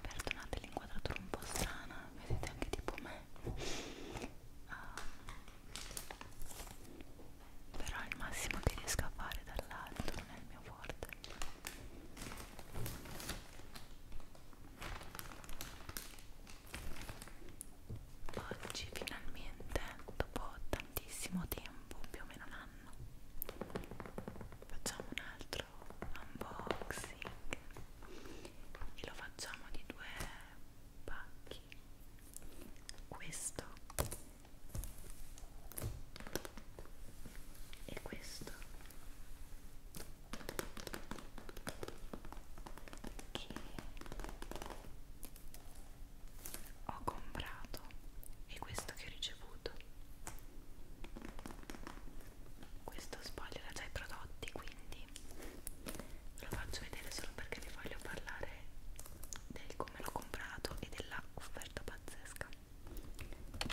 perdonate l'inquadratura un po' strana vedete anche tipo me uh, però è il massimo che riesco a fare dall'alto non è il mio forte oggi finalmente dopo tantissimo tempo più o meno un anno fanno facciamo un altro unboxing e lo facciamo di due pacchi questo e questo che ho comprato e questo che ho ricevuto questo spoglio da già i prodotti quindi ve lo faccio vedere solo perché vi voglio parlare del come l'ho comprato e della offerta pazzesca e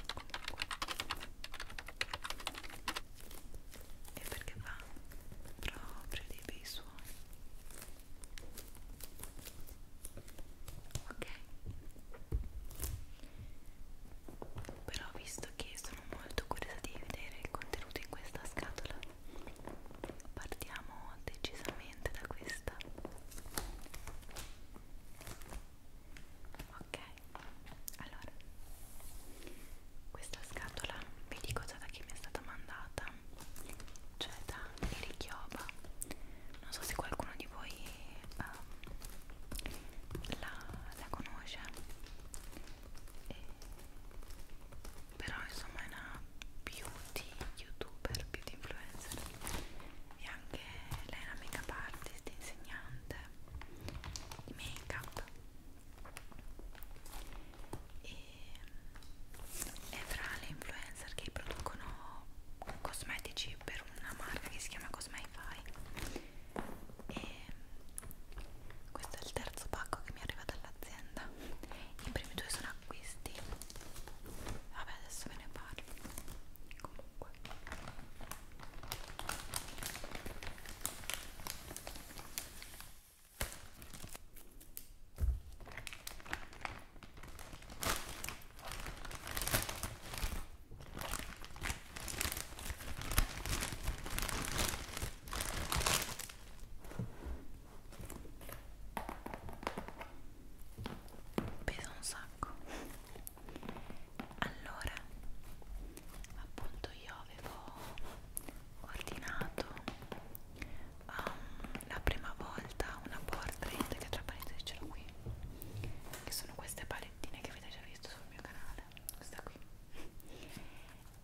perché va proprio dei bei suoni ok però visto che sono molto curiosa di vedere il contenuto in questa scatola partiamo decisamente da questa ok allora questa scatola vi dico già da chi mi è stata mandata Ceta cioè, e Richioba non so se qualcuno di voi um, la, la conosce e, però insomma è una beauty youtuber, beauty influencer e anche lei è una make-up artist, insegnante di make-up e ehm, è fra le influencer influencer che producono cosmetici per una marca che si chiama Cosmify e questo è il terzo pacco che mi arriva dall'azienda i primi due sono acquisti vabbè adesso ve ne parlo comunque pesa un sacco allora appunto io avevo ordinato um, la prima volta una portrait che tra parentesi ce l'ho qui che sono queste palettine che avete già visto sul mio canale questa qui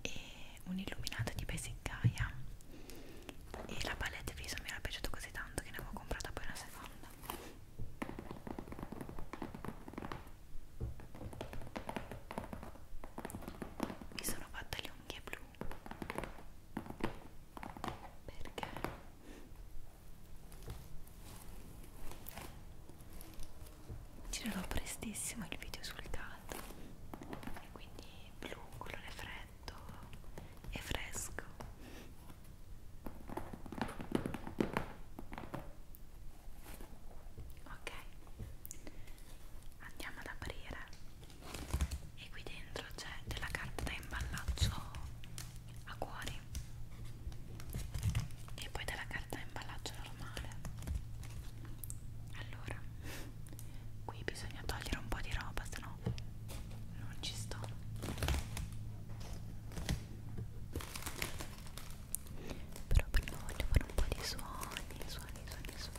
e un'illuminata di Basic Gaia e la palette viso mi era piaciuta così tanto che ne avevo comprata poi una seconda mi sono fatta le unghie blu perché girerò prestissimo il video sul caldo e quindi blu, colore freddo e fresco ok andiamo ad aprire e qui dentro c'è della carta da imballaggio a cuori e poi della carta da imballaggio normale allora qui bisogna togliere un po' di roba se no non ci sto però prima voglio fare un po' di suoni suoni suoni suoni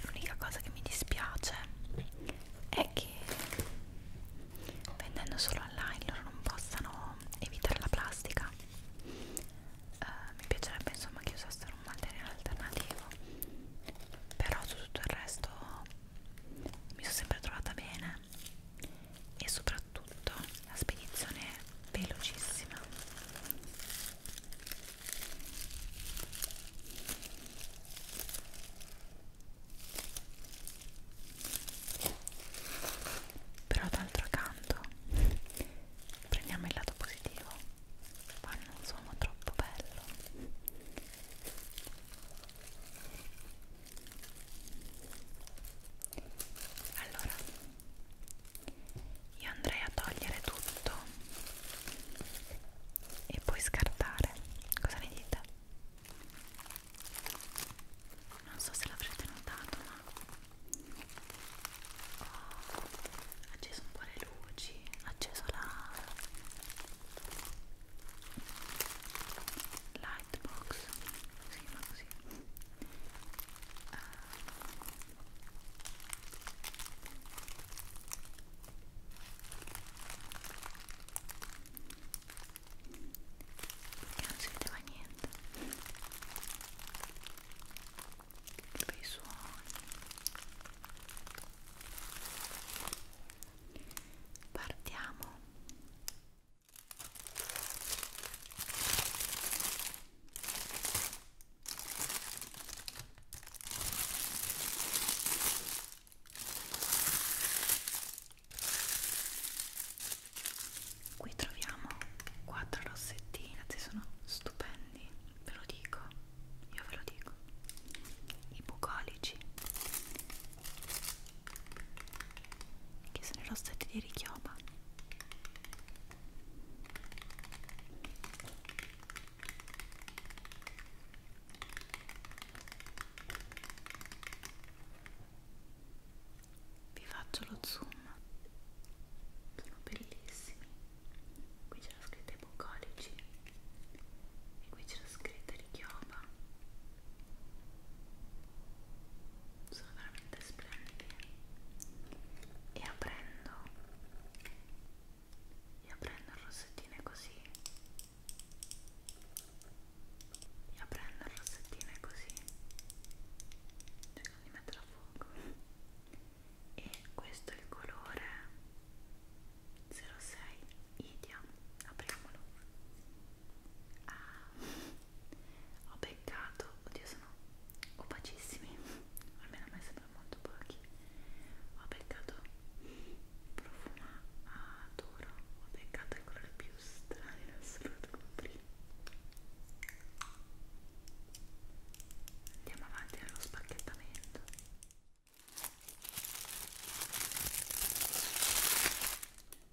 L'unica cosa che mi dispiace è che vendendo solo online loro non possano evitare la plastica. Uh, mi piacerebbe insomma che usassero un materiale alternativo, però su tutto il resto mi sono sempre trovata bene me e soprattutto la spedizione è velocissima però d'altro canto prendiamo il lato positivo fa un suono troppo bello allora io andrei a togliere tutto e poi scartare cosa ne dite? non so se l'avrete notato ma ho acceso un po' le luci ho acceso la la Lightbox si chiama così uh, ah. che non si vedeva niente che bei suoni partiamo Qui troviamo quattro rossettine, ci sono stupendi, ve lo dico, io ve lo dico. I bucolici che sono i rossetti di richioma vi faccio lo zoom sono bellissimi qui c'è la scritta i bucolici e qui c'è la scritta richioma sono veramente splendidi e aprendo e aprendo il rossettino così e aprendo il rossettino così cerco di metterlo a fuoco e questo è il colore 06 idia apriamolo ah ho beccato, oddio sono opacissimi, almeno a me sembra molto pochi, ho beccato profumato, ho beccato il colore più strano in assoluto come prima. Andiamo avanti allo spacchettamento.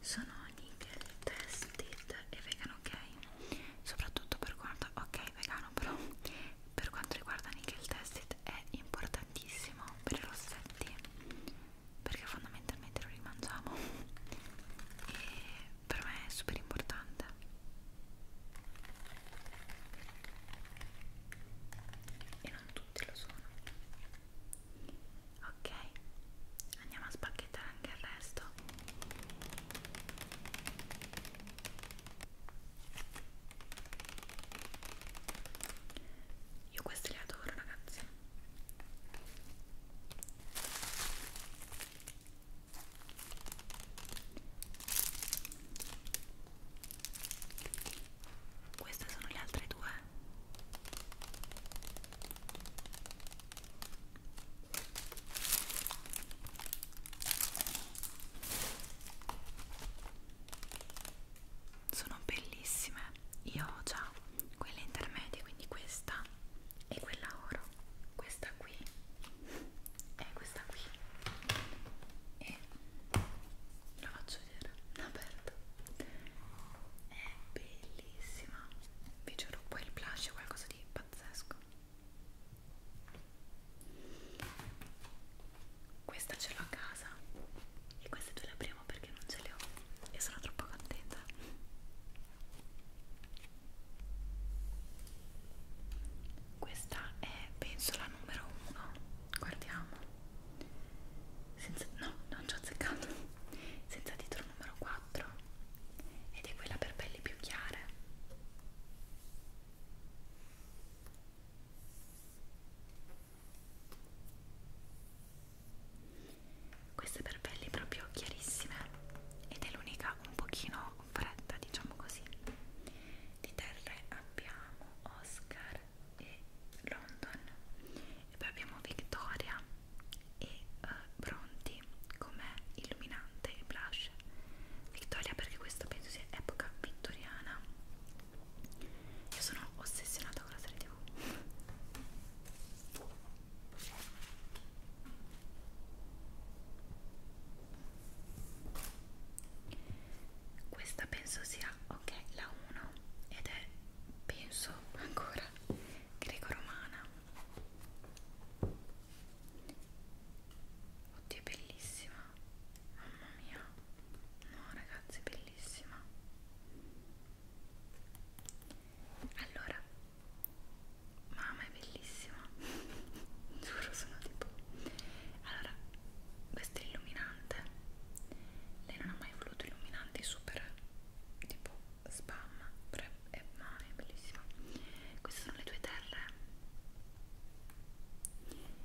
sono nickel tested e vegan ok soprattutto per quanto ok vegano però per quanto riguarda nickel tested è importantissimo per i rossetti perché fondamentalmente lo rimangiamo e per me è super importante e non tutti lo sono ok andiamo a spacchettare anche il resto io questi li adoro ragazzi queste sono le altre due. Sono bellissime. Io ho già quelle intermedie, quindi questa e quella oro questa qui e questa qui e la faccio vedere aperta è bellissima vi giuro poi il blush è qualcosa di pazzesco questa ce l'ho a casa e queste due le apriamo perché non ce le ho e sono troppo contenta questa è penso la numero uno. Guardiamo. Senza, no, non ci ho azzeccato. Senza titolo numero 4. Ed è quella per pelli più chiare queste per pelli proprio chiarissime ed è l'unica un pochino fredda diciamo così di terre abbiamo Oscar e London e poi abbiamo Victoria e uh, eh, Bronti come illuminante e blush Victoria perché questa penso sia epoca vittoriana io sono ossessionata con la serie tv questa penso sia ok la 1 ed è penso ancora greco-romana. Oddio, è bellissima. Mamma mia. No, ragazzi, bellissima. Allora, mamma è bellissima, giuro sono tipo... Allora, questo è illuminante, lei non ha mai voluto illuminanti super tipo spam, però è, mamma è bellissima. Queste sono le tue terre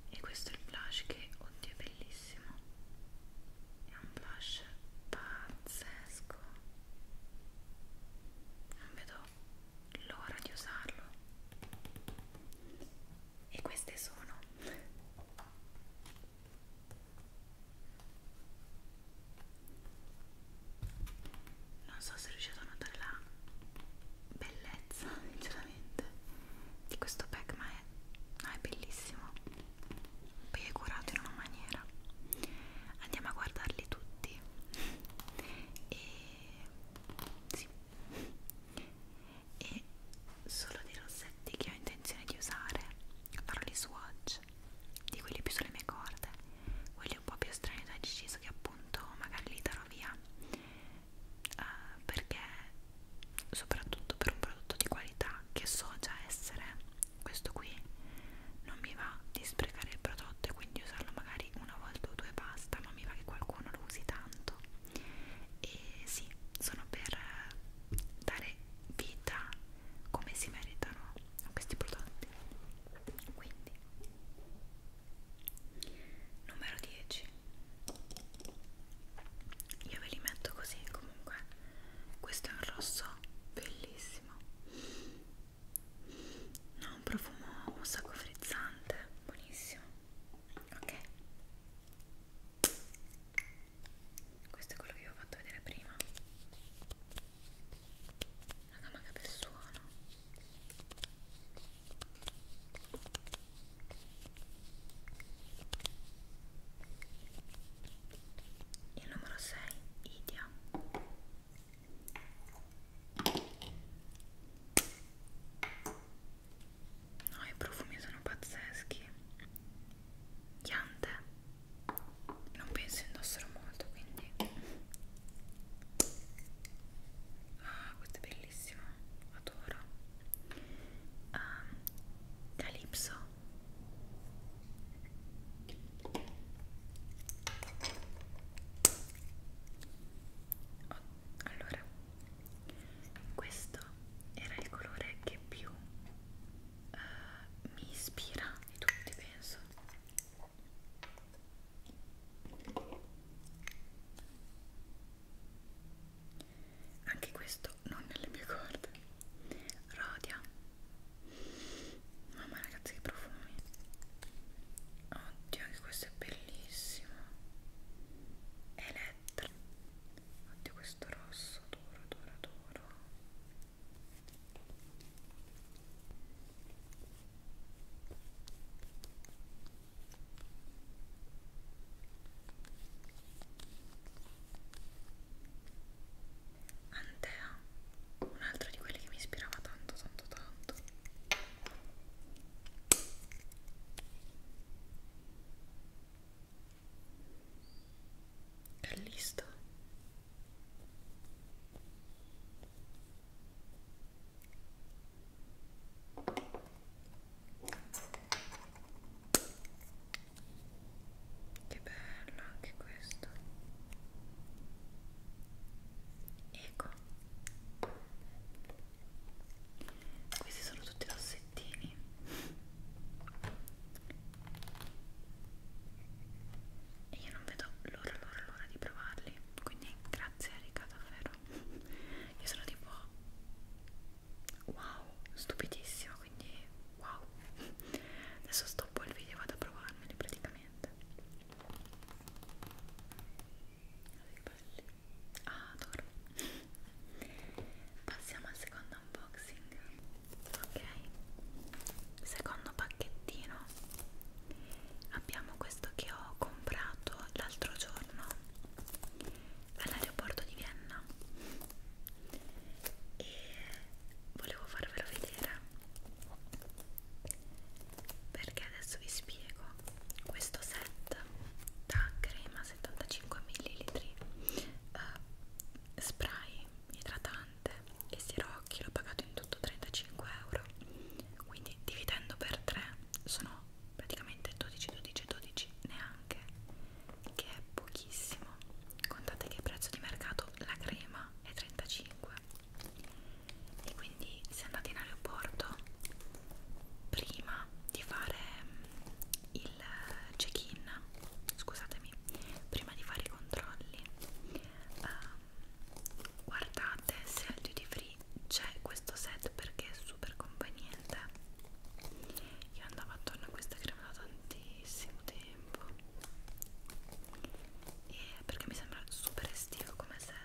e questo è il blush che, oddio è bellissimo bellissimo è un blush pazzesco non vedo l'ora di usarlo e queste sono non so se riuscite a notare la bellezza sinceramente di questo pack ma è, no, è bellissimo poi è curato in una maniera andiamo a guardarli tutti e sì e solo dei rossetti che ho intenzione di usare farò gli swatch di quelli più sulle mie corde quelli un po' più strani ho deciso che appunto magari li darò via uh, perché soprattutto per un prodotto di qualità che so già essere questo qui non mi va di sprecare il prodotto e quindi usarlo magari una volta o due basta ma mi va che qualcuno lo usi tanto e sì sono per dare vita come si meritano a questi prodotti quindi numero 10 io ve li metto così comunque questo è un rosso bellissimo ha no, un profumo un sacco frizzante buonissimo ok questo è quello che vi ho fatto vedere prima raga ma che bel suono il numero 6, Idia. No, i profumi sono pazzeschi. Chiante. Non penso indossero molto, quindi. Ah, questa è bellissima, adoro. Um, Calypso Oh, allora, questo era il colore che più uh, mi ispira di tutti, penso anche questo non nelle mie corde Rodia mamma ragazzi che profumi oddio anche questo è bellissimo Elettra oddio questo rosso duro duro duro Antea, un altro di quelli che mi ispirava tanto tanto tanto Callisto che bello anche questo ecco questi sono tutti rossettini e io non vedo l'ora l'ora l'ora di provarli quindi grazie Erika davvero io sono tipo wow stupidissima quindi wow adesso stoppo il video e vado a provarmeli praticamente ah adoro passiamo al secondo unboxing ok secondo pacchettino abbiamo questo che ho comprato l'altro giorno all'aeroporto di Vienna e volevo farvelo vedere perché adesso vi spiego questo set da crema 75 ml uh, spray idratante e sirocchi l'ho pagato in tutto 35 euro quindi dividendo per 3 sono praticamente 12 12 12 neanche che è pochissimo contate che il prezzo di mercato la crema è 35 e quindi se andate in aeroporto prima di fare mm, il check-in scusatemi prima di fare i controlli uh, guardate se al duty free c'è questo set perché è super conveniente io andavo attorno a questa crema da tantissimo tempo e perché mi sembra super estivo come set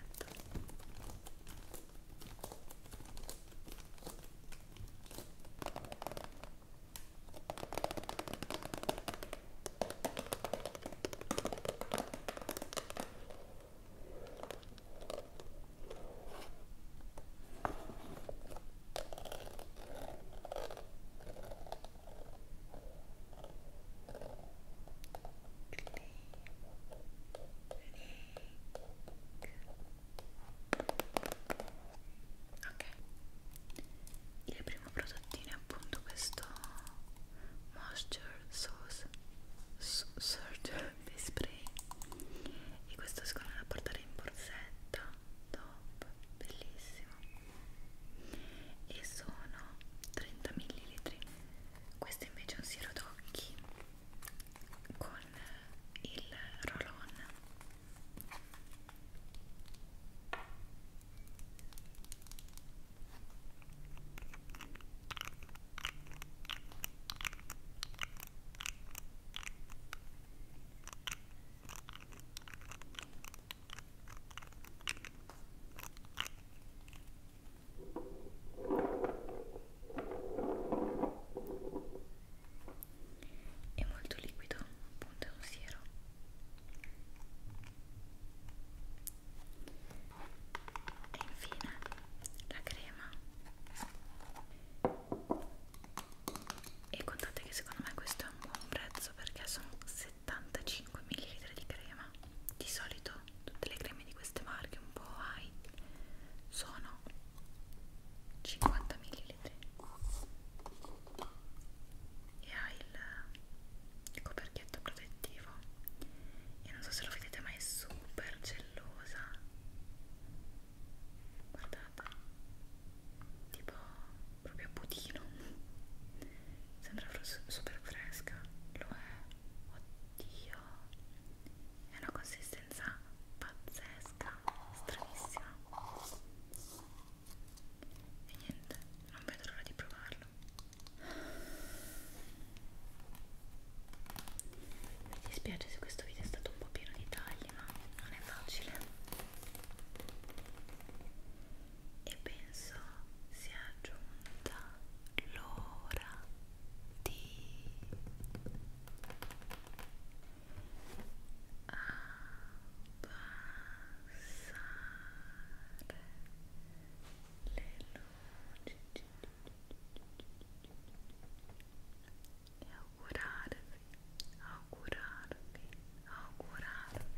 Ok, il primo prodottino è appunto questo moisture sauce surgery e spray e questo secondo me da portare in borsetta top bellissimo e sono 30 ml questo invece è un siero d'occhi con il roll on è molto liquido, appunto è un siero. E infine la crema e contate che secondo me questo è un buon prezzo perché sono 75 ml di crema di solito tutte le creme di queste marche un po' high sono 50 ml e ha il coperchietto protettivo e non so se lo vedete ma è super gellosa guardate tipo proprio budino sembra super fresca lo è oddio è una consistenza pazzesca stranissima e niente non vedo l'ora di provarlo mi dispiace se questo video è stato un po' pieno di tagli, ma non è facile. E penso sia giunta l'ora di abbassare le luci. Ao curar-me, ao curar-me, ao curar-me,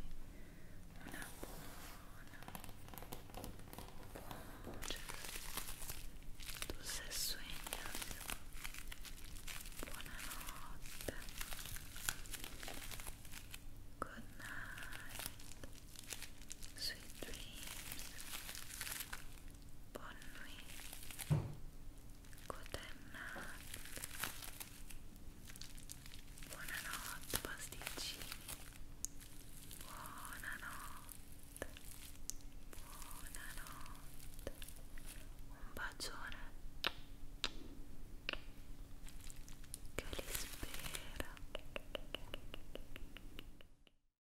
Good night. Sweet dreams. Bonnui, Cotennac, buonanotte pasticcini, buonanotte, buonanotte, un bacione che li spera.